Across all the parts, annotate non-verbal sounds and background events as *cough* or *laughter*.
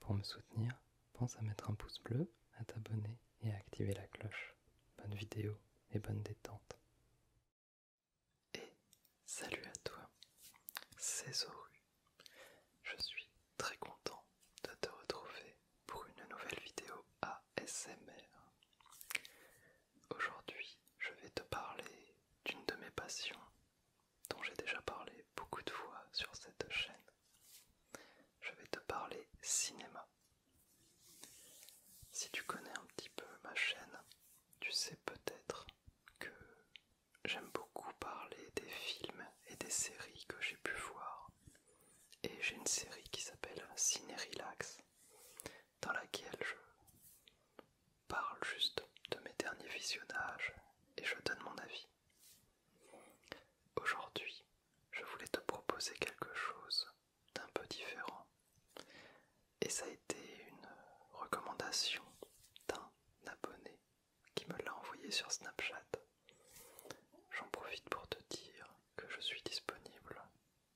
Pour me soutenir, pense à mettre un pouce bleu, à t'abonner et à activer la cloche. Bonne vidéo et bonne détente. Et salut à toi, c'est Zoru. Je suis très content de te retrouver pour une nouvelle vidéo ASMR. Aujourd'hui, je vais te parler d'une de mes passions dont j'ai déjà parlé beaucoup de fois sur cette chaîne. Je vais te parler cinéma. Si tu connais un petit peu ma chaîne, tu sais peut-être que j'aime beaucoup parler des films et des séries que j'ai pu voir. Et j'ai une série qui s'appelle Ciné Relax, dans laquelle je parle juste de mes derniers visionnages et je donne mon avis. Aujourd'hui, je voulais te proposer quelque chose d'un peu différent. Et ça a été une recommandation d'un abonné qui me l'a envoyé sur Snapchat. J'en profite pour te dire que je suis disponible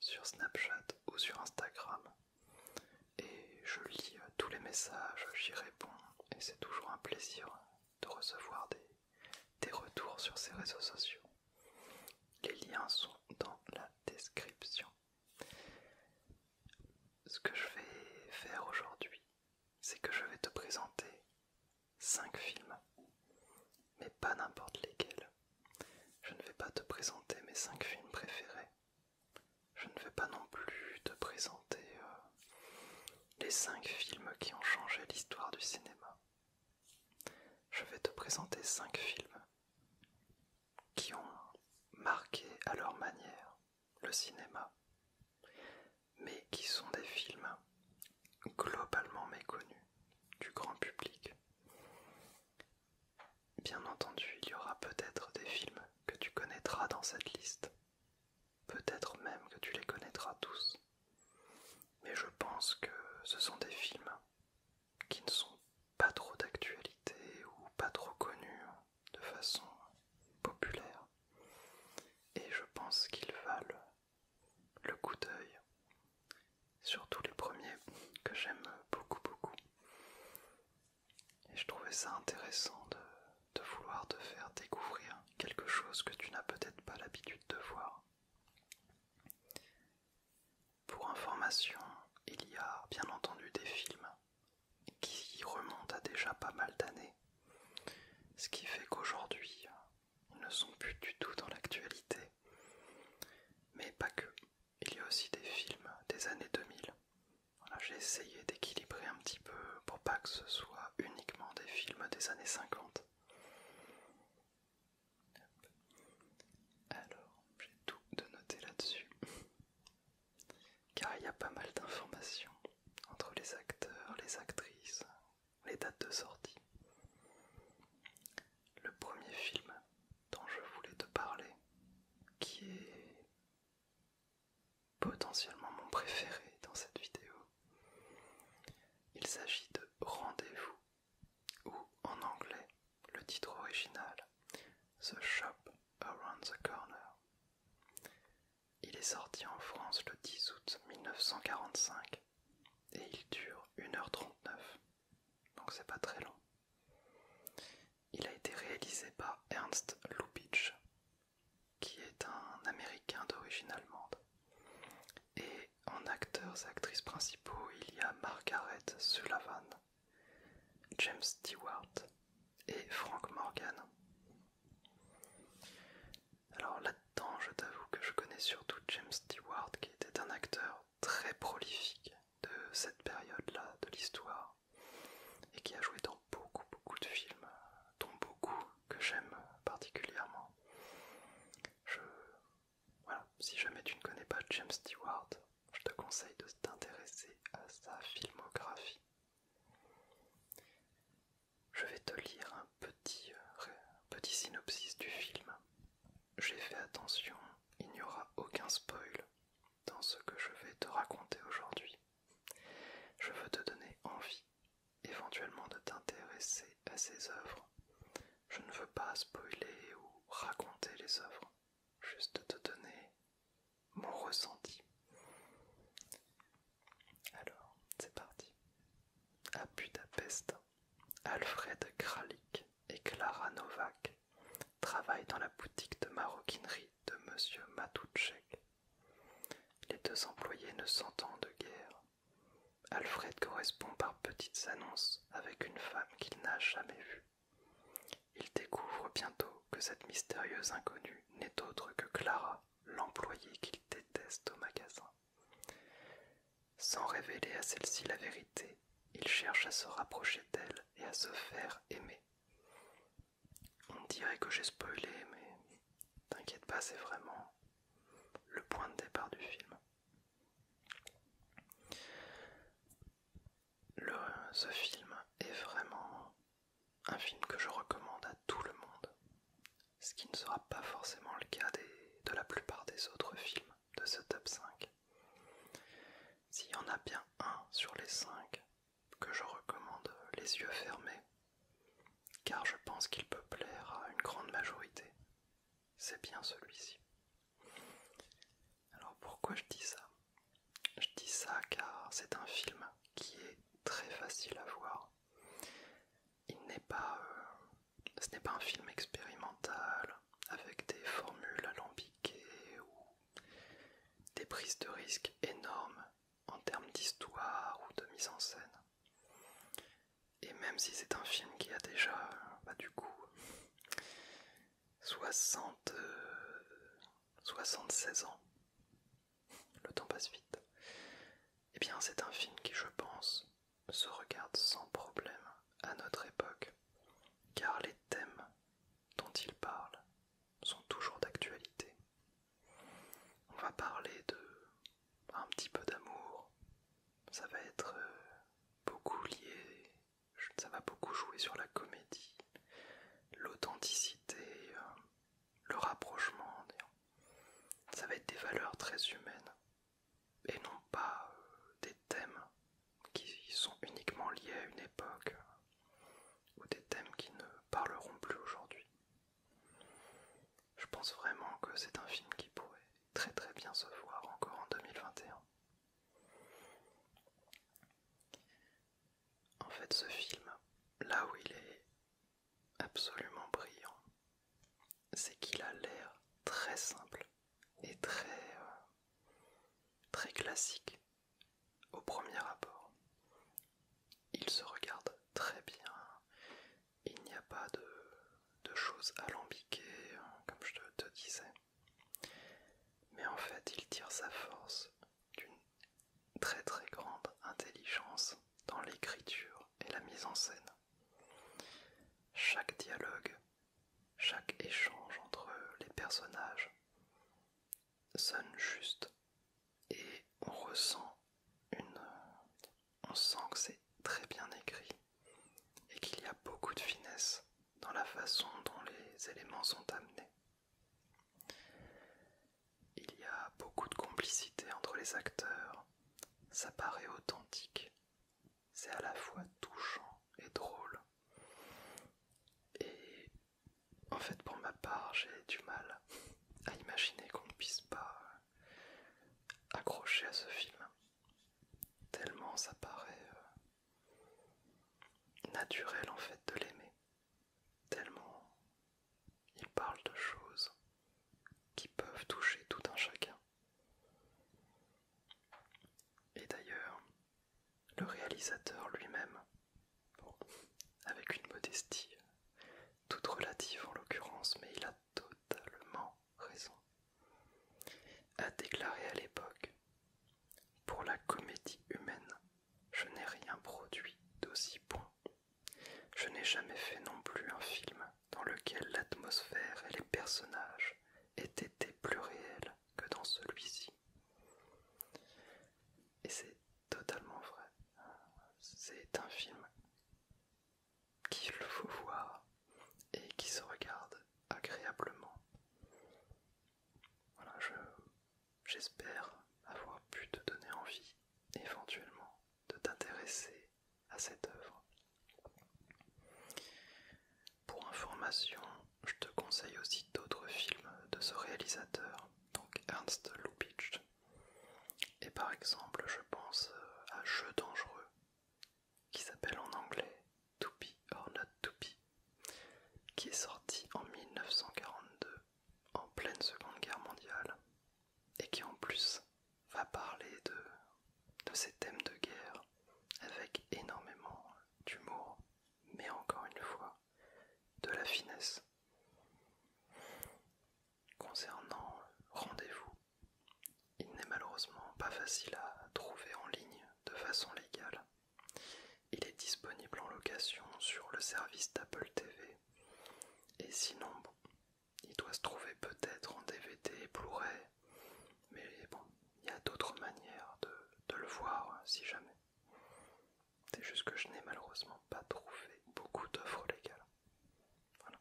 sur Snapchat ou sur Instagram. Et je lis tous les messages, j'y réponds, et c'est toujours un plaisir de recevoir des, des retours sur ces réseaux sociaux. Les liens sont dans la description. Ce que je vais faire aujourd'hui, c'est que je vais te présenter 5 films, mais pas n'importe lesquels. Je ne vais pas te présenter mes 5 films préférés. Je ne vais pas non plus te présenter euh, les 5 films qui ont changé l'histoire du cinéma. Je vais te présenter 5 films qui ont marqué à leur manière le cinéma, mais qui sont des films globalement méconnus du grand public. Bien entendu, il y aura peut-être des films que tu connaîtras dans cette liste, peut-être même que tu les connaîtras tous, mais je pense que ce sont des films qui ne sont pas trop d'actualité ou pas trop connus de façon populaire et je pense qu'ils valent le coup d'œil, surtout les premiers que j'aime beaucoup beaucoup. Et je trouvais ça intéressant de vouloir te faire découvrir quelque chose que tu n'as peut-être pas l'habitude de voir. Pour information, il y a bien entendu des films qui remonte à déjà pas mal d'années. Ce qui fait qu'aujourd'hui, ils ne sont plus du tout dans l'actualité. Mais pas que. Il y a aussi des films des années 2000. j'ai essayé d'équilibrer un petit peu pour pas que ce soit uniquement des films des années 50. Alors, j'ai tout de noté là-dessus car il y a pas mal d'informations entre les acteurs, les actrices, les dates de sortie. Le premier film dont je voulais te parler, qui est potentiellement mon préféré dans cette vidéo, il s'agit de Rendez-vous, ou en anglais, le titre original, The Shop Around the Corner. Il est sorti en France le 10 août 1945 et il dure 1h39, donc c'est pas très long. Il a été réalisé par Ernst Lubitsch, qui est un Américain d'origine allemande. Et en acteurs et actrices principaux, il y a Margaret Sullivan, James Stewart, et Frank Morgan. Alors là-dedans, je t'avoue que je connais surtout James Stewart, qui était un acteur très prolifique de cette période-là de l'histoire et qui a joué dans beaucoup, beaucoup de films, dont beaucoup que j'aime particulièrement. Voilà, si jamais tu ne connais pas James Stewart, je te conseille de t'intéresser à sa filmographie. Je vais te lire euh, un petit, synopsis du film. J'ai fait attention, il n'y aura aucun spoil dans ce que je vais te raconter aujourd'hui. Je veux te donner envie, éventuellement, de t'intéresser à ces œuvres. Je ne veux pas spoiler ou raconter les œuvres, juste te donner mon ressenti. Alors, c'est parti. À Budapest, Alfred Kralik et Clara Novak travaillent dans la boutique de maroquinerie de M. Matuchek. Les deux employés ne s'entendent guère. Alfred correspond par petites annonces avec une femme qu'il n'a jamais vue. Il découvre bientôt que cette mystérieuse inconnue n'est autre que Clara, l'employée qu'il déteste au magasin. Sans révéler à celle-ci la vérité, il cherche à se rapprocher d'elle et à se faire aimer. On dirait que j'ai spoilé, mais t'inquiète pas, c'est vraiment le point de départ du film. ce film est vraiment un film que je recommande à tout le monde, ce qui ne sera pas forcément le cas de la plupart des autres films de ce top 5. S'il y en a bien un sur les 5 que je recommande les yeux fermés, car je pense qu'il peut plaire à une grande majorité, c'est bien celui-ci. Alors pourquoi je dis ça je dis ça car c'est un film qui est très facile à voir. Il n'est pas, euh, ce n'est pas un film expérimental avec des formules alambiquées ou des prises de risques énormes en termes d'histoire ou de mise en scène. Et même si c'est un film qui a déjà, bah, du coup, 60, 76 euh, ans, le temps passe vite. Eh bien, c'est un film qui, je pense, se regarde sans problème à notre époque, car les thèmes dont il parle sont toujours d'actualité. On va parler de un petit peu d'amour, ça va être euh, beaucoup lié, ça va beaucoup jouer sur la comédie, l'authenticité, euh, le rapprochement, ça va être des valeurs très humaines et non pas euh, des thèmes qui sont uniquement liés à une époque euh, ou des thèmes qui ne parleront plus aujourd'hui. Je pense vraiment que c'est un film qui pourrait très très bien se voir encore en 2021. En fait, ce film, là où il est absolument brillant, c'est qu'il a l'air très simple et très, euh, classique au premier abord. Il se regarde très bien, il n'y a pas de, de choses alambiquées, hein, comme je te disais. Mais en fait, il tire sa force d'une très très grande intelligence dans l'écriture et la mise en scène. Chaque dialogue, chaque échange entre les personnages sonne juste et on ressent une... on sent que c'est très bien écrit et qu'il y a beaucoup de finesse dans la façon dont les éléments sont amenés. Il y a beaucoup de complicité entre les acteurs, ça paraît authentique, c'est à la fois touchant et drôle. Et en fait pour ma part j'ai du mal à imaginer qu'on ne puisse pas accrocher à ce film, tellement ça paraît euh, naturel en fait de l'aimer tellement il parle de choses qui peuvent toucher tout un chacun. Et d'ailleurs, le réalisateur lui-même, avec une modestie toute relative en l'occurrence, mais il a totalement raison, a déclaré à l'époque, pour la comédie humaine, je n'ai rien produit d'aussi bon. Je n'ai jamais fait non plus un film dans lequel l'atmosphère et les personnages aient été plus réels que dans celui-ci. Et c'est totalement vrai. C'est un film qu'il faut voir et qui se regarde agréablement. Voilà, j'espère avoir pu te donner envie éventuellement de t'intéresser à cette œuvre. Pour information, je te conseille aussi d'autres films de ce réalisateur, donc Ernst Lubitsch. Et par exemple, je pense euh, à Jeux dangereux, qui s'appelle en anglais To or Not To qui est sorti en 1942 en pleine Seconde Guerre mondiale et qui en plus va parler de, ces thèmes de guerre avec énormément d'humour, mais encore une fois de la finesse. Concernant rendez-vous, il n'est malheureusement pas facile à trouver en ligne de façon légale. Il est disponible en location sur le service d'Apple TV. Et sinon, il doit se trouver peut-être en DVD et Blu-ray. Mais bon, il y a d'autres manières de, le voir hein, si jamais. C'est juste que je n'ai malheureusement pas trouvé beaucoup d'offres légales. Voilà.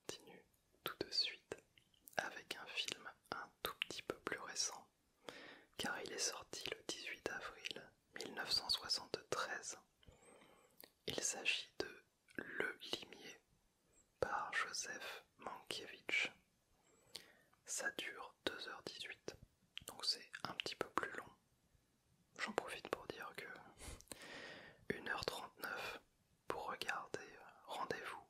Continue tout de suite avec un film un tout petit peu plus récent car il est sorti le 18 avril 1973. Il s'agit de Le Limier par Joseph Mankiewicz. Ça dure 2h18, donc c'est un petit peu plus long. J'en profite pour dire que 1h39 pour regarder Rendez-vous,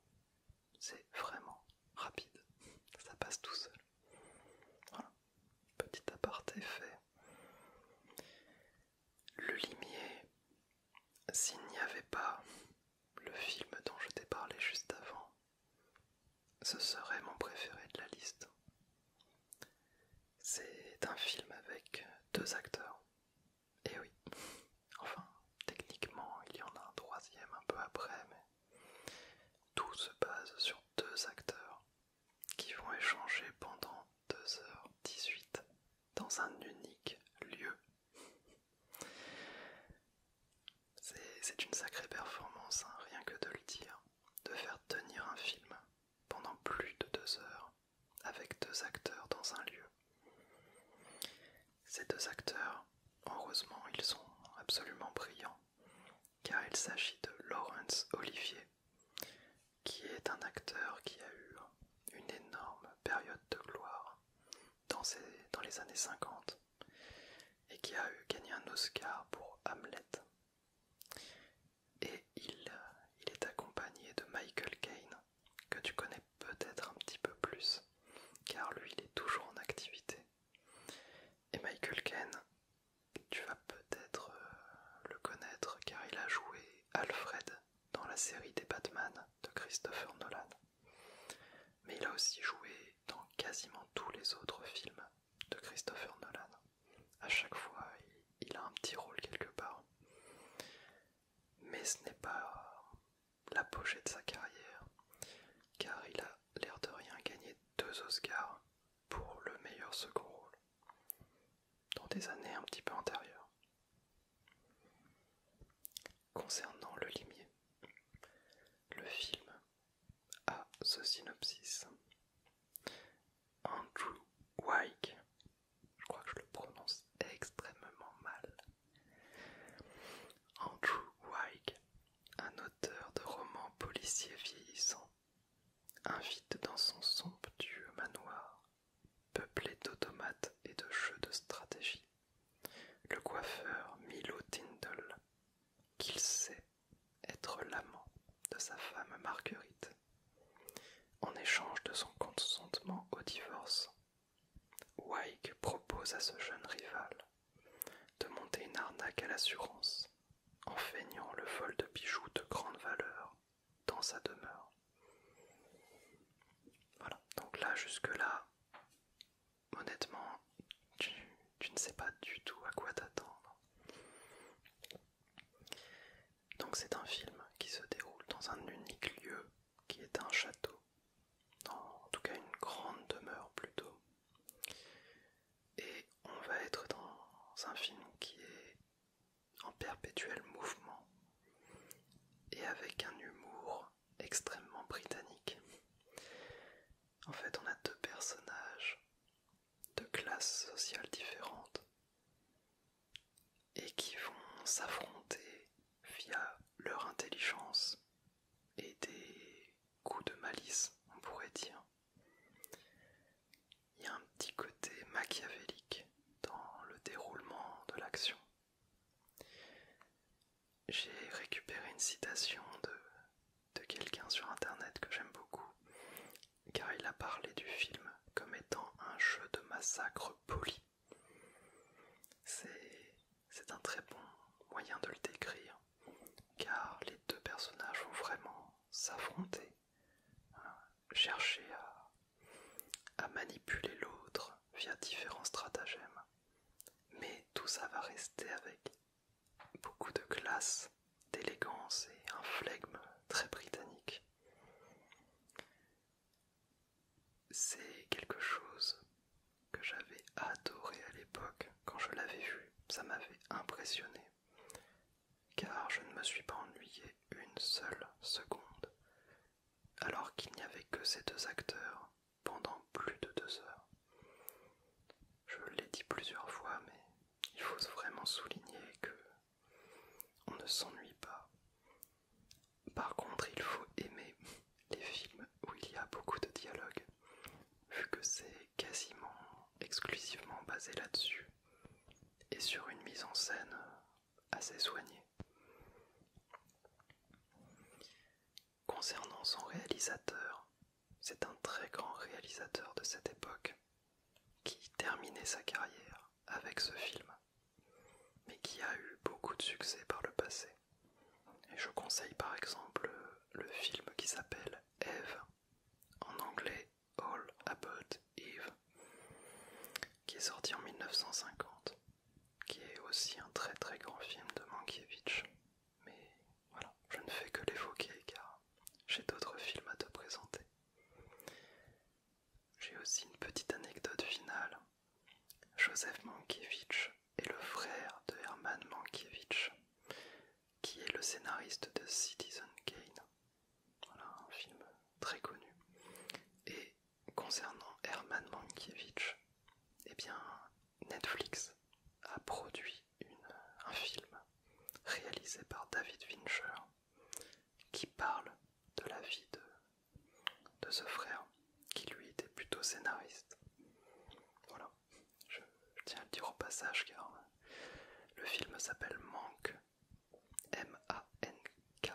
c'est vraiment rapide, ça passe tout seul. Voilà, petit aparté fait. Le limier, s'il n'y avait pas le film dont je t'ai parlé juste avant, ce serait mon préféré de la liste. C'est un film avec deux acteurs. Et eh oui, *laughs* enfin, techniquement, il y en a un troisième un peu après, mais tout se base sur deux acteurs qui vont échanger pendant 2h18 dans un unique lieu. C'est une sacrée performance, hein, rien que de le dire, de faire tenir un film pendant plus de deux heures avec deux acteurs dans un lieu. Ces deux acteurs, heureusement, ils sont absolument brillants car il s'agit de Laurence Olivier, qui est un acteur qui a eu une énorme période de gloire dans, les années 50 et qui a gagné un Oscar pour Hamlet. Et il, il est accompagné de Michael Caine, que tu connais peut-être un petit peu plus, car lui il est toujours en activité. Et Michael Caine, tu vas peut-être euh, le connaître car il a joué Alfred dans la série des Batman de Christopher Nolan. Mais il a aussi joué dans quasiment tous les autres films de Christopher Nolan. À chaque fois, il a un petit rôle quelque part. Mais ce n'est pas l'apogée de sa carrière, car il a l'air de rien gagner deux Oscars pour le meilleur second rôle, dans des années un petit peu antérieures. Concernant Le Limier, le film a ce synopsis. Andrew Wyke, je crois que je le prononce extrêmement mal. Andrew Wyke un auteur de romans policiers vieillissants, invite dans son somptueux manoir, peuplé d'automates et de jeux de stratégie, le coiffeur Milo Tindle, qu'il sait être l'amant de sa femme Marguerite, en échange de son consentement au divorce. Wyke propose à ce jeune rival de monter une arnaque à l'assurance en feignant le vol de bijoux de grande valeur dans sa demeure. Voilà, donc là jusque-là, honnêtement, tu, tu ne sais pas du tout à quoi t'attendre. Donc c'est un film qui se déroule dans un unique lieu qui est un château en tout cas une grande demeure plutôt. Et on va être dans un film qui est en perpétuel mouvement et avec un humour extrêmement britannique. En fait, on a deux personnages de classes sociales différentes et qui vont s'affronter via leur intelligence et des coups de malice, on pourrait dire. Il y a un petit côté machiavélique dans le déroulement de l'action. J'ai récupéré une citation de, de quelqu'un sur internet que j'aime beaucoup, car il a parlé du film comme étant un jeu de massacre poli. C'est c'est un très bon moyen de le décrire, car les deux personnages vont vraiment s'affronter, hein, chercher à manipuler l'autre via différents stratagèmes. Mais tout ça va rester avec beaucoup de classe, d'élégance et un flegme très britannique. C'est quelque chose que j'avais adoré à l'époque quand je l'avais vu. Ça m'avait impressionné, car je ne me suis pas ennuyé une seule seconde, alors qu'il n'y avait que ces deux acteurs pendant plus de deux heures. Je l'ai dit plusieurs fois, mais il faut vraiment souligner que on ne s'ennuie pas. Par contre, il faut aimer les films où il y a beaucoup de dialogue vu que c'est quasiment exclusivement basé là-dessus et sur une mise en scène assez soignée. Concernant son réalisateur, c'est un très grand réalisateur de cette époque qui terminait sa carrière avec ce film, mais qui a eu beaucoup de succès par le passé. Et je conseille par exemple le film qui s'appelle Eve, en anglais All About Eve, qui est sorti en 1950, qui est aussi un très très grand film de Mankiewicz. Mais voilà, je ne fais que l'évoquer car j'ai d'autres films à te présenter. J'ai aussi une petite anecdote finale. Joseph Mankiewicz est le frère de Herman Mankiewicz, qui est le scénariste de Citizen Kane. Voilà, un film très connu. Et concernant Herman Mankiewicz, eh bien, Netflix a produit un film réalisé par David Fincher qui parle de la vie de, de ce frère qui lui était plutôt scénariste. Voilà. Je, tiens à le dire au passage car le film s'appelle Manque, M-A-N-K,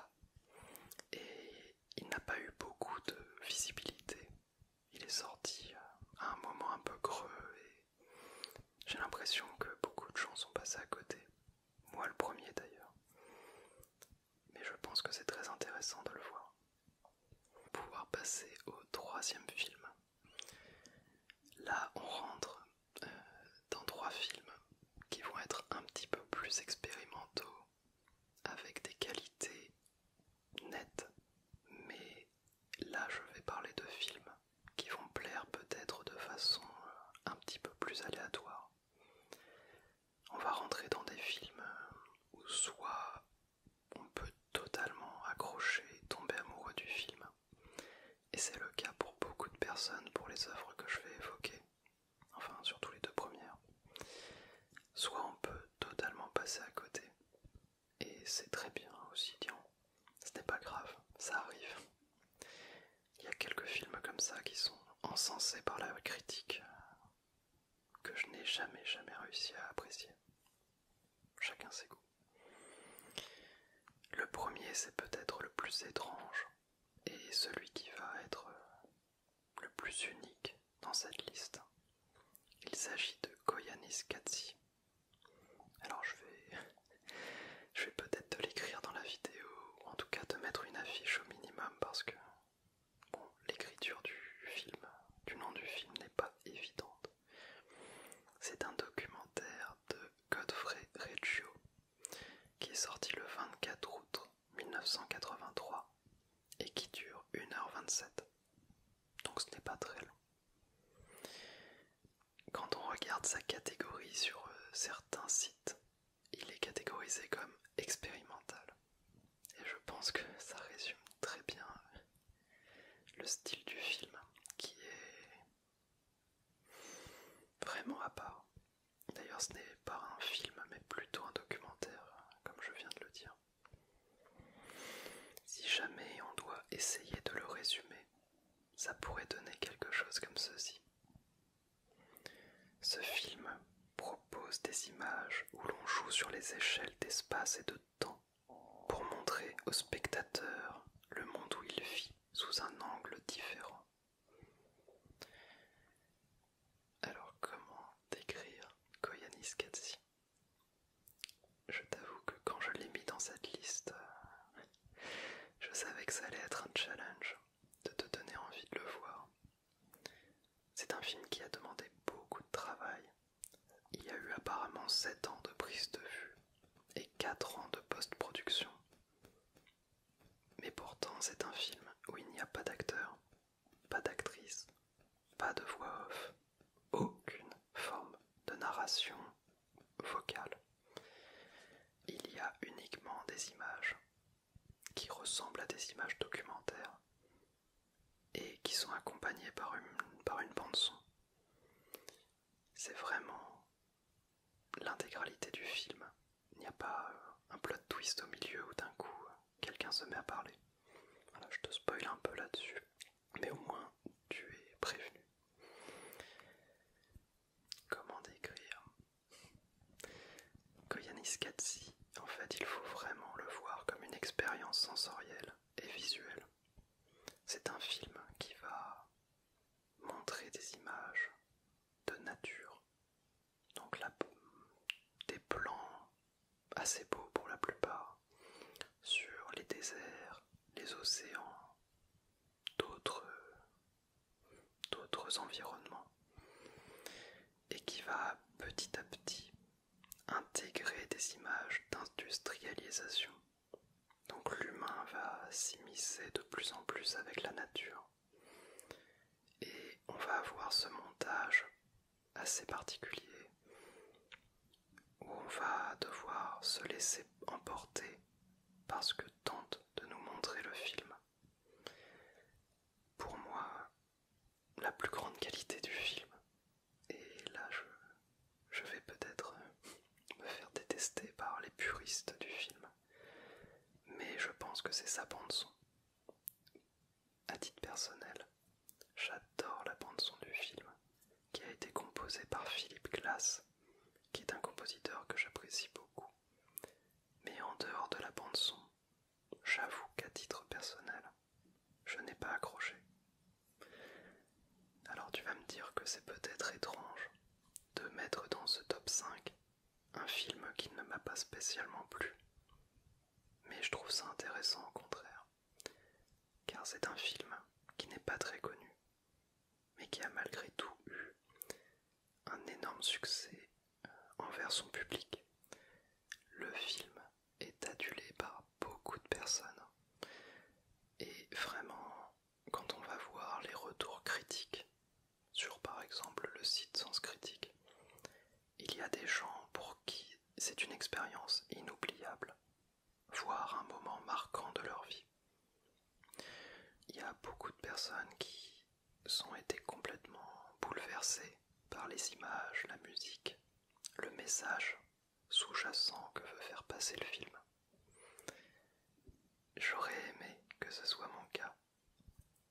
et il n'a pas eu beaucoup de visibilité. Il est sorti à un moment un peu creux et j'ai l'impression que beaucoup de gens sont passés à côté, moi le premier d'ailleurs. Mais je pense que c'est très intéressant de le voir pouvoir passer au troisième film. Là, on rentre euh, dans trois films qui vont être un petit peu plus expérimentaux, avec des qualités nettes, mais là, je vais parler de films qui vont plaire peut-être de façon euh, un petit peu plus aléatoire. On va rentrer dans des films euh, où soit on peut totalement accrocher et tomber amoureux du film. Et c'est le cas pour beaucoup de personnes pour les œuvres que je vais évoquer, enfin surtout les deux premières. Soit on peut totalement passer à côté, et c'est très bien aussi, disons, ce n'est pas grave, ça arrive. Il y a quelques films comme ça qui sont encensés par la critique que je n'ai jamais jamais réussi à apprécier. Chacun ses goûts. Le premier, c'est peut-être le plus étrange et celui qui va être euh, le plus unique dans cette liste. Il s'agit de Koyanis Katsi. Alors je vais, *laughs* je vais peut-être te l'écrire dans la vidéo, ou en tout cas te mettre une affiche au minimum parce que Bon, l'écriture du film, du nom du film n'est pas évidente. C'est un documentaire de Godfrey Reggio qui est sorti le 24 août 1983 et qui dure 1h27. Donc ce n'est pas très long. Quand on regarde sa catégorie sur euh, certains sites, il est catégorisé comme expérimental. Et je pense que ça résume très bien euh, le style du film qui est vraiment à part. D'ailleurs, ce n'est pas un film mais plutôt un documentaire, hein, comme je viens de le dire. Si jamais on doit essayer de le résumer, ça pourrait donner quelque chose comme ceci. Ce film propose pose des images où l'on joue sur les échelles d'espace et de temps pour montrer au spectateur le monde où il vit sous un angle différent. Alors comment décrire Koyanis Katsi Je t'avoue que quand je l'ai mis dans cette liste, euh, je savais que ça allait être un challenge de te donner envie de le voir. C'est un film qui a demandé beaucoup de travail. Il y a eu apparemment 7 ans de prise de vue et 4 ans de post-production. Mais pourtant, c'est un film où il n'y a pas d'acteur, pas d'actrice, pas de voix off, aucune forme de narration vocale. Il y a uniquement des images qui ressemblent à des images documentaires et qui sont accompagnés par une, par une bande son. C'est vraiment l'intégralité du film. Il n'y a pas euh, un plot twist au milieu où d'un coup euh, quelqu'un se met à parler. Voilà, je te spoil un peu là-dessus, mais au moins tu es prévenu. Comment décrire que en fait, il faut vraiment le voir comme une expérience sensorielle et visuelle. C'est un film qui va montrer des images de nature, donc des plans assez beaux pour la plupart, sur les déserts, les océans, d'autres environnements, et qui va petit à petit intégrer des images d'industrialisation. Donc l'humain va s'immiscer de plus en plus avec la nature. Et on va avoir ce montage assez particulier où on va devoir se laisser emporter parce que tente de nous montrer le film. Pour moi, la plus grande qualité du film. Et là, je, vais peut-être euh, me faire détester par les puristes du film. Mais je pense que c'est sa bande-son. À titre personnel, j'adore la bande-son du film, qui a été composée par Philippe Glass, qui est un compositeur que j'apprécie beaucoup. Mais en dehors de la bande-son, j'avoue qu'à titre personnel, je n'ai pas accroché. Alors tu vas me dire que c'est peut-être étrange de mettre dans ce top 5 un film qui ne m'a pas spécialement plu. Mais je trouve ça intéressant au contraire, car c'est un film qui n'est pas très connu, mais qui a malgré tout eu un énorme succès euh, envers son public. Le film est adulé par beaucoup de personnes. Et vraiment, quand on va voir les retours critiques sur par exemple le site Sens Critique, il y a des gens pour qui c'est une expérience inoubliable, voire un moment marquant de leur vie. Il y a beaucoup de personnes qui sont été complètement bouleversées par les images, la musique, le message sous-jacent que veut faire passer le film. J'aurais aimé que ce soit mon cas,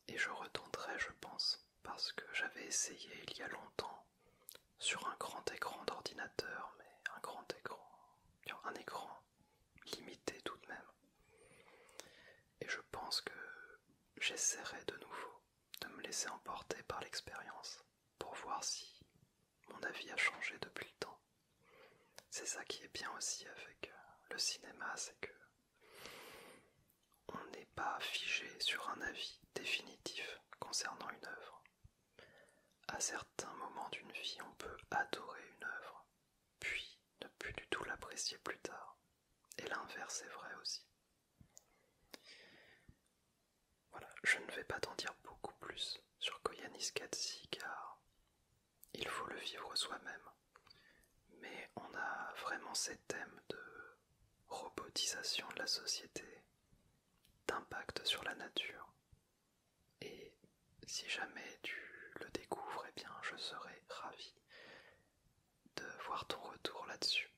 et je retenterai, je pense, parce que j'avais essayé il y a longtemps sur un grand écran d'ordinateur, mais un grand écran, un écran limité tout de même. Et je pense que j'essaierai de nouveau de me laisser emporter par l'expérience pour voir si mon avis a changé depuis le temps. C'est ça qui est bien aussi avec euh, le cinéma, c'est que on n'est pas figé sur un avis définitif concernant une œuvre. À certains moments d'une vie, on peut adorer une œuvre, puis ne plus du tout l'apprécier plus tard. Et l'inverse est vrai aussi. Voilà, je ne vais pas t'en dire beaucoup plus sur Koyanis Katsi car il faut le vivre soi-même. Mais on a vraiment ces thèmes de robotisation de la société, d'impact sur la nature. Et si jamais tu le découvres, eh bien je serai ravi de voir ton retour là-dessus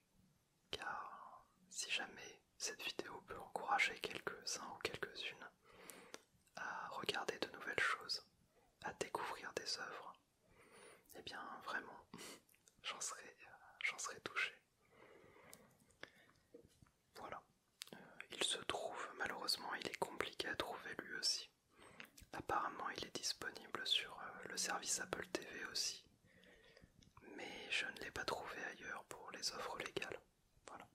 car si jamais cette vidéo peut encourager quelques-uns ou quelques-unes à regarder de nouvelles choses, à découvrir des œuvres, eh bien vraiment, *laughs* j'en serais, euh, touché. Voilà. Euh, il se trouve, malheureusement, il est compliqué à trouver lui aussi. Apparemment, il est disponible sur euh, le service Apple TV aussi, mais je ne l'ai pas trouvé ailleurs pour les offres légales. Voilà.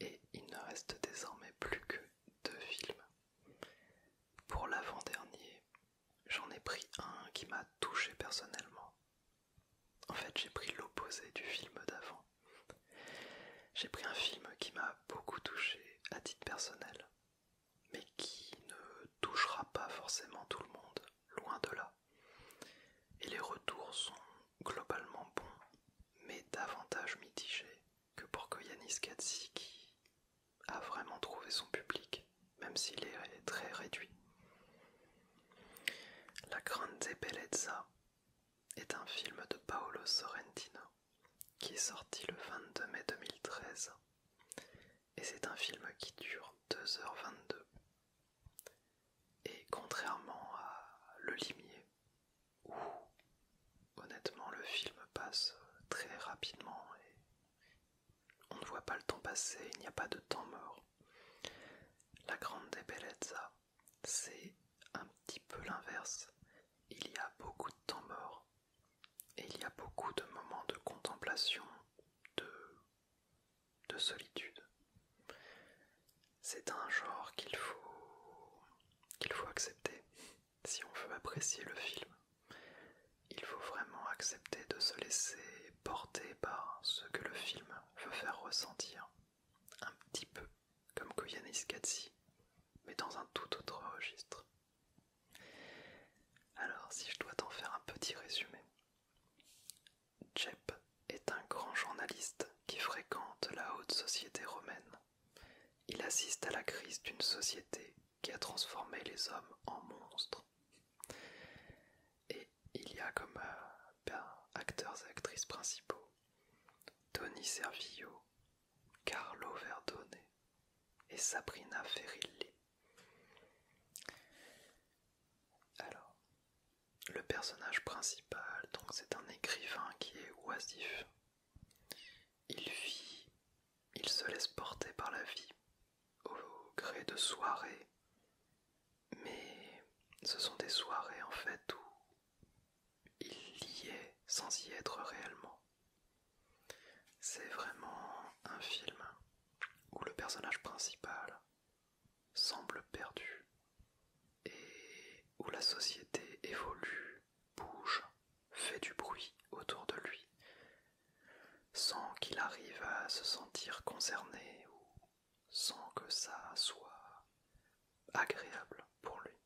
Et il ne reste désormais plus que deux films. Pour l'avant-dernier, j'en ai pris un qui m'a touché personnellement. En fait, j'ai pris l'opposé du film d'avant. J'ai pris un film qui m'a beaucoup touché à titre personnel, mais qui ne touchera pas forcément tout le monde, loin de là. Et les retours sont globalement bons, mais davantage mitigés que pour Koyanis Katsiki, qui a vraiment trouvé son public, même s'il est très réduit. La Grande Bellezza est un film de Paolo Sorrentino qui est sorti le 22 mai 2013 et c'est un film qui dure 2h22. Et contrairement à Le Limier, où honnêtement le film passe euh, très rapidement et on ne voit pas le temps passer, il n'y a pas de temps mort, La Grande Bellezza, c'est un petit peu l'inverse. Il y a beaucoup de temps mort et il y a beaucoup de moments de contemplation, de, solitude. C'est un genre qu'il faut, qu'il faut accepter. Si on veut apprécier le film, il faut vraiment accepter de se laisser porter par ce que le film veut faire ressentir, un petit peu comme Koyanis Katsi, mais dans un tout autre registre. Alors, si je dois t'en faire un petit résumé, Jep est un grand journaliste qui fréquente la haute société romaine. Il assiste à la crise d'une société qui a transformé les hommes en monstres. Et il y a comme euh, ben, acteurs et actrices principaux Tony Servillo, Carlo Verdone et Sabrina Ferrilli. Alors, le personnage principal, donc c'est un écrivain qui est oisif. Il vit, il se laisse porter par la vie, au gré de soirées. Mais ce sont des soirées en fait où il y est sans y être réellement. C'est vraiment un film où le personnage principal semble perdu et où la société évolue, bouge, fait du bruit autour de lui sans qu'il arrive à se sentir concerné ou sans que ça soit agréable pour lui.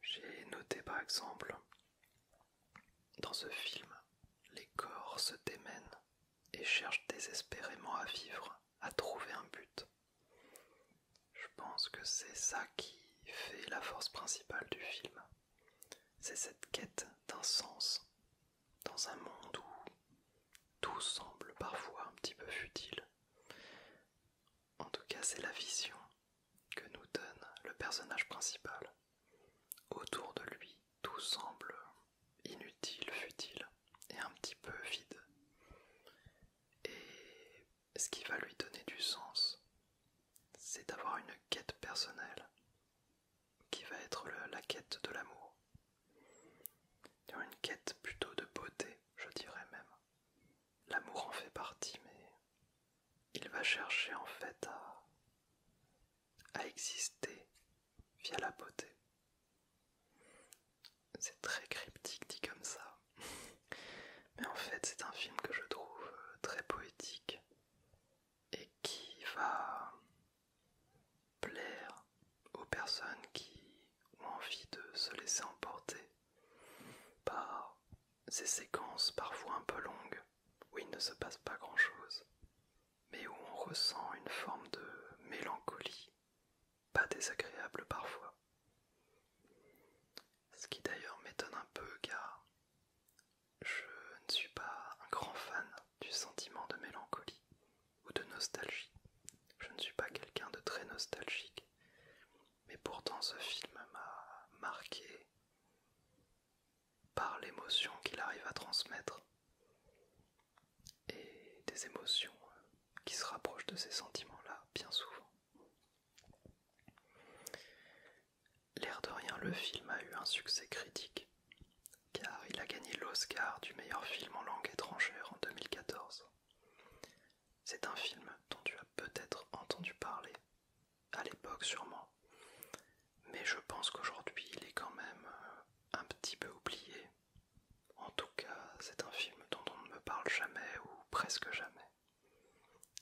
J'ai noté par exemple, dans ce film, les corps se démènent et cherchent désespérément à vivre, à trouver un but. Je pense que c'est ça qui fait la force principale du film. C'est cette quête d'un sens dans un monde où tout semble parfois un petit peu futile. En tout cas, c'est la vision que nous donne le personnage principal. Autour de lui, tout semble inutile, futile et un petit peu vide. Et ce qui va lui donner du sens, c'est d'avoir une quête personnelle qui va être la quête de l'amour. Une quête plutôt de beauté, je dirais même. L'amour en fait partie, mais il va chercher en fait à, exister via la beauté. C'est très cryptique dit comme ça. *laughs* Mais en fait, c'est un film que je trouve euh, très poétique et qui va plaire aux personnes qui ont envie de se laisser emporter par ces séquences parfois un peu longues où il ne se passe pas grand-chose, mais où on ressent une forme de mélancolie, pas désagréable parfois. Ce qui d'ailleurs m'étonne un peu car je ne suis pas un grand fan du sentiment de mélancolie ou de nostalgie. Je ne suis pas quelqu'un de très nostalgique mais pourtant ce film m'a marqué par l'émotion qu'il arrive à transmettre et des émotions euh, qui se rapprochent de ces sentiments-là bien souvent. L'air de rien, le film a eu un succès critique car il a gagné l'Oscar du meilleur film en langue étrangère en 2014. C'est un film dont tu as peut-être entendu parler, à l'époque sûrement, mais je pense qu'aujourd'hui il est quand même euh, un petit peu oublié. En tout cas, c'est un film dont on ne me parle jamais ou presque jamais,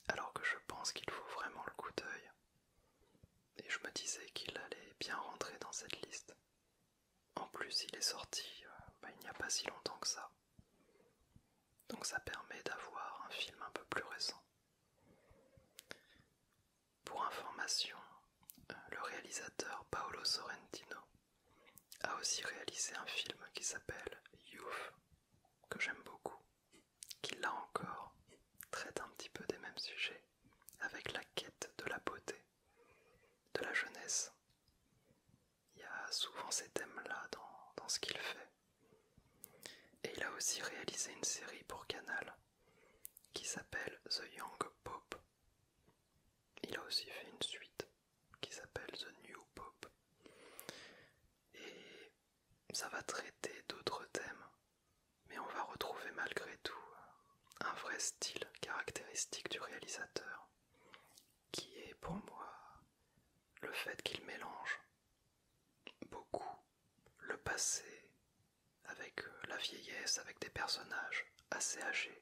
alors que je pense qu'il faut vraiment le coup d'œil. Et je me disais qu'il allait bien rentrer dans cette liste. En plus, il est sorti euh, bah, il n'y a pas si longtemps que ça. Donc ça permet d'avoir un film un peu plus récent. Pour information, euh, le réalisateur Paolo Sorrentino a aussi réalisé un film qui s'appelle Youth, que j'aime beaucoup, qui là encore traite un petit peu des mêmes sujets, avec la quête de la beauté, de la jeunesse, il y a souvent ces thèmes-là dans, ce qu'il fait. Et il a aussi réalisé une série pour Canal qui s'appelle The Young Pope. Il a aussi fait une suite qui s'appelle The New Pope. Et ça va traiter d'autres thèmes, mais on va retrouver malgré tout un vrai style caractéristique du réalisateur qui est pour moi le fait qu'il mélange beaucoup le passé avec euh, la vieillesse, avec des personnages assez âgés,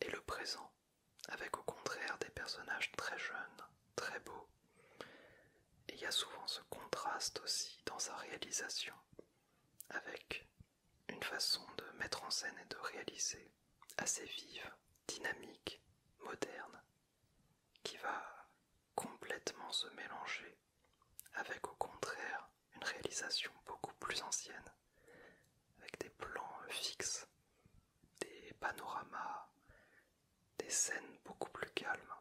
et le présent avec au contraire des personnages très jeunes, très beaux. il y a souvent ce contraste aussi dans sa réalisation avec une façon de mettre en scène et de réaliser assez vive, dynamique, moderne, qui va complètement se mélanger avec au contraire une réalisation beaucoup plus ancienne, avec des plans euh, fixes, des panoramas, des scènes beaucoup plus calmes.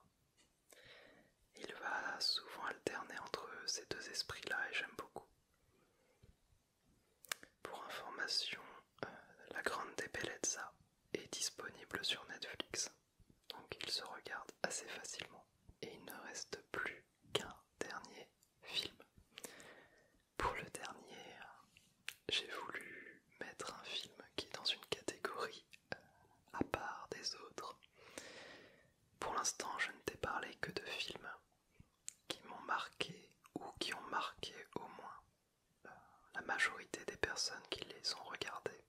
Il va souvent alterner entre ces deux esprits-là et j'aime beaucoup. Pour information, euh, La Grande Bellezza est disponible sur Netflix, donc il se regarde assez facilement. Et il ne reste plus qu'un dernier film. Pour le dernier, j'ai voulu mettre un film qui est dans une catégorie euh, à part des autres. Pour l'instant, je ne t'ai parlé que de films qui m'ont marqué ou qui ont marqué au moins la majorité des personnes qui les ont regardés.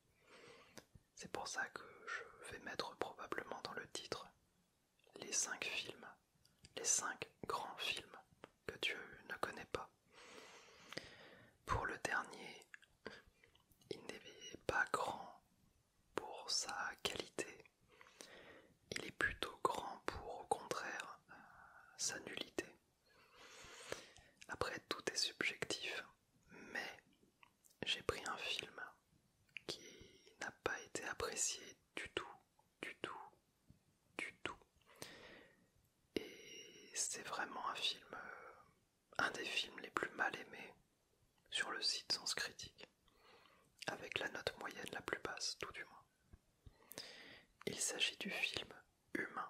C'est pour ça que je vais mettre probablement dans le titre les 5 films, les 5 grands films que Dieu ne connaît pas. Pour le dernier, il n'est pas grand pour sa qualité, il est plutôt grand pour au contraire euh, sa nullité. Après, tout est subjectif, mais j'ai pris un film qui n'a pas été apprécié du tout, du tout, du tout. Et c'est vraiment un film, euh, un des films les plus mal aimés sur le site Sens Critique, avec la note moyenne la plus basse, tout du moins. Il s'agit du film Humain,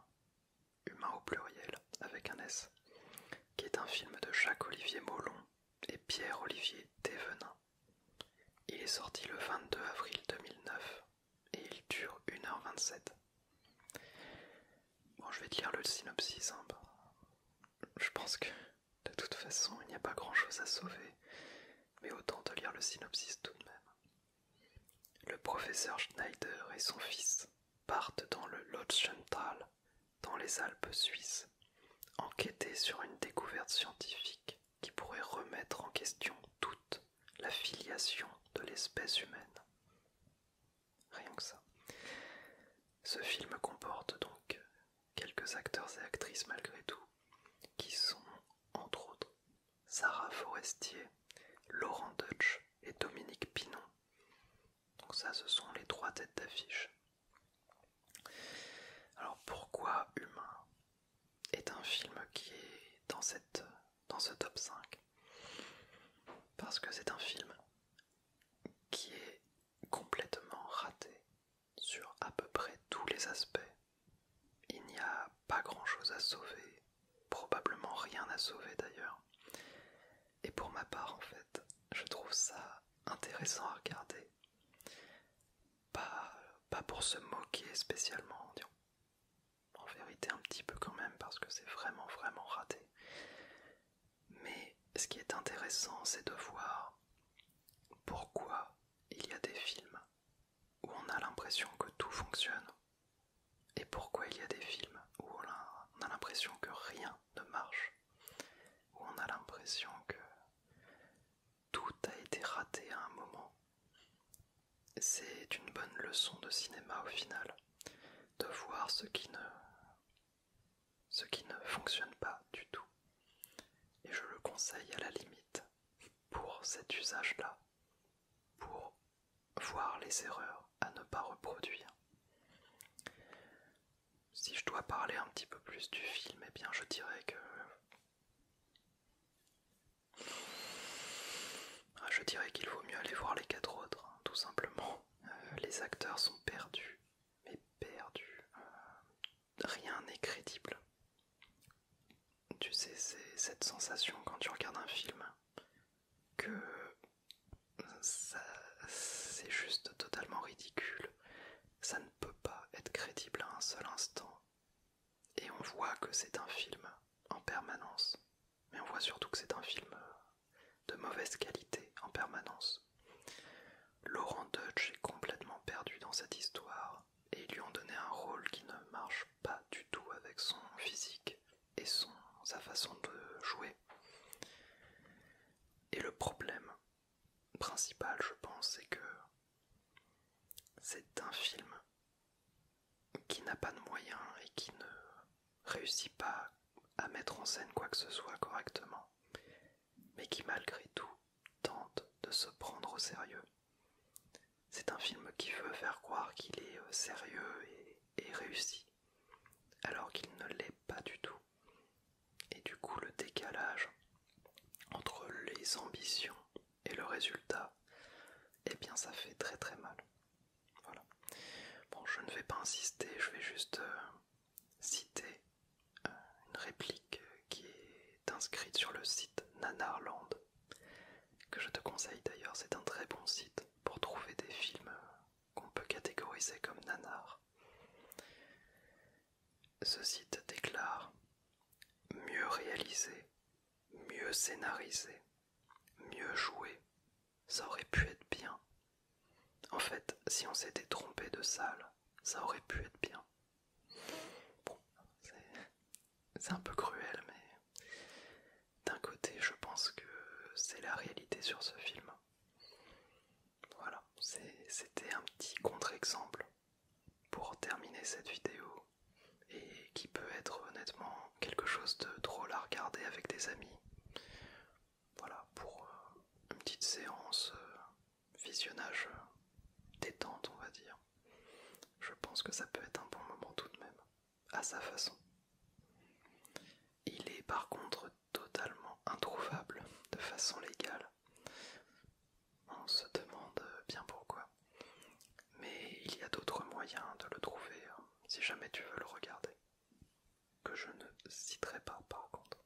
Humain au pluriel avec un S, qui est un film de Jacques-Olivier Mollon et Pierre-Olivier Thévenin. Il est sorti le 22 avril 2009 et il dure 1h27. Bon, je vais te lire le synopsis. Hein. Je pense que de toute façon, il n'y a pas grand-chose à sauver, mais autant te lire le synopsis tout de même. Le professeur Schneider et son fils partent dans le Lodschenthal dans les Alpes suisses, enquêter sur une découverte scientifique qui pourrait remettre en question toute la filiation de l'espèce humaine. Rien que ça. Ce film comporte donc quelques acteurs et actrices malgré tout, qui sont entre autres Sarah Forestier, Laurent Deutsch et Dominique Pinon. Donc ça, ce sont les trois têtes d'affiche. Alors pourquoi Humain est un film qui est dans, dans ce top 5 Parce que c'est un film qui est complètement raté sur à peu près tous les aspects il n'y a pas grand-chose à sauver, probablement rien à sauver d'ailleurs. Et pour ma part, en fait, je trouve ça intéressant à regarder. Pas, pour se moquer spécialement, en vérité un petit peu quand même, parce que c'est vraiment, vraiment raté. Mais ce qui est intéressant, c'est de voir pourquoi il y a des films où on a l'impression que tout fonctionne et pourquoi il y a des films où on a, l'impression que rien ne marche, où on a l'impression que tout a été raté à un moment. C'est une bonne leçon de cinéma au final, de voir ce qui ne, ce qui ne fonctionne pas du tout. Et je le conseille à la limite pour cet usage-là, pour voir les erreurs à ne pas reproduire. Si je dois parler un petit peu plus du film, eh bien je dirais que... Ah, je dirais qu'il vaut mieux aller voir les quatre autres, hein, tout simplement. Euh, les acteurs sont perdus, mais perdus. Euh, rien n'est crédible. Tu sais, c'est cette sensation quand tu regardes un film que c'est juste totalement ridicule. Ça ne peut pas être crédible à un seul instant. Et on voit que c'est un film en permanence. Mais on voit surtout que c'est un film de mauvaise qualité en permanence. Laurent Dutch est complètement perdu dans cette histoire et lui ont donné un rôle qui ne marche pas du tout avec son physique et sa façon de jouer. Et le problème principal, je pense, c'est que c'est un film qui n'a pas de moyens et qui ne réussit pas à mettre en scène quoi que ce soit correctement, mais qui malgré tout tente de se prendre au sérieux. C'est un film qui veut faire croire qu'il est euh, sérieux et, réussi, alors qu'il ne l'est pas du tout. Et du coup, le décalage entre les ambitions et le résultat, eh bien, ça fait très très mal. Voilà. Bon, je ne vais pas insister, je vais juste euh, citer euh, une réplique qui est inscrite sur le site Nanarland, que je te conseille d'ailleurs, c'est un très bon site pour trouver des films qu'on peut catégoriser comme nanar. Ce site déclare mieux réalisé, mieux scénarisé, mieux joué, ça aurait pu être bien. En fait, si on s'était trompé de salle, ça aurait pu être bien. Bon, c'est un peu cruel, mais d'un côté, je pense que c'est la réalité sur ce film. Voilà, c'était un petit contre-exemple pour terminer cette vidéo et qui peut être honnêtement quelque chose de drôle à regarder avec des amis. Voilà, pour euh, une petite séance euh, visionnage détente, on va dire, je pense que ça peut être un bon moment tout de même, à sa façon. Il est par contre totalement introuvable de façon légale. On se demande bien pourquoi. Mais il y a d'autres moyens de le trouver hein, si jamais tu veux le regarder. Que je ne citerai pas par contre.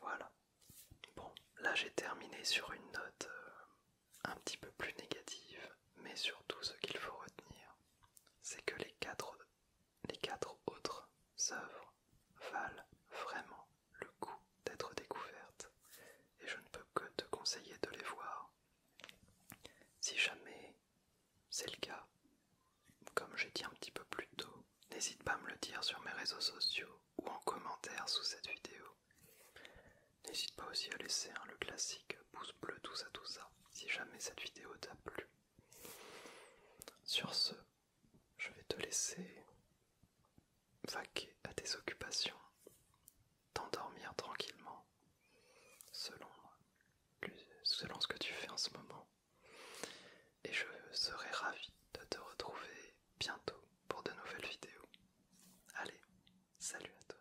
Voilà. Bon, là j'ai terminé sur une note euh, un petit peu plus négative, mais surtout ce qu'il faut retenir, c'est que les quatre, les quatre autres œuvres valent vraiment le coup d'être découvertes, et je ne peux que te conseiller de les voir. Si jamais c'est le cas, comme j'ai dit un petit peu plus tôt, n'hésite pas à me le dire sur mes réseaux sociaux ou en commentaire sous cette vidéo. N'hésite pas aussi à laisser le classique pouce bleu, tout ça, tout ça, si jamais cette vidéo t'a plu. Sur ce, je vais te laisser vaquer à tes occupations, t'endormir tranquillement, selon, selon ce que tu fais en ce moment. Et je serai ravi de te retrouver bientôt pour de nouvelles vidéos. Allez, salut à toi.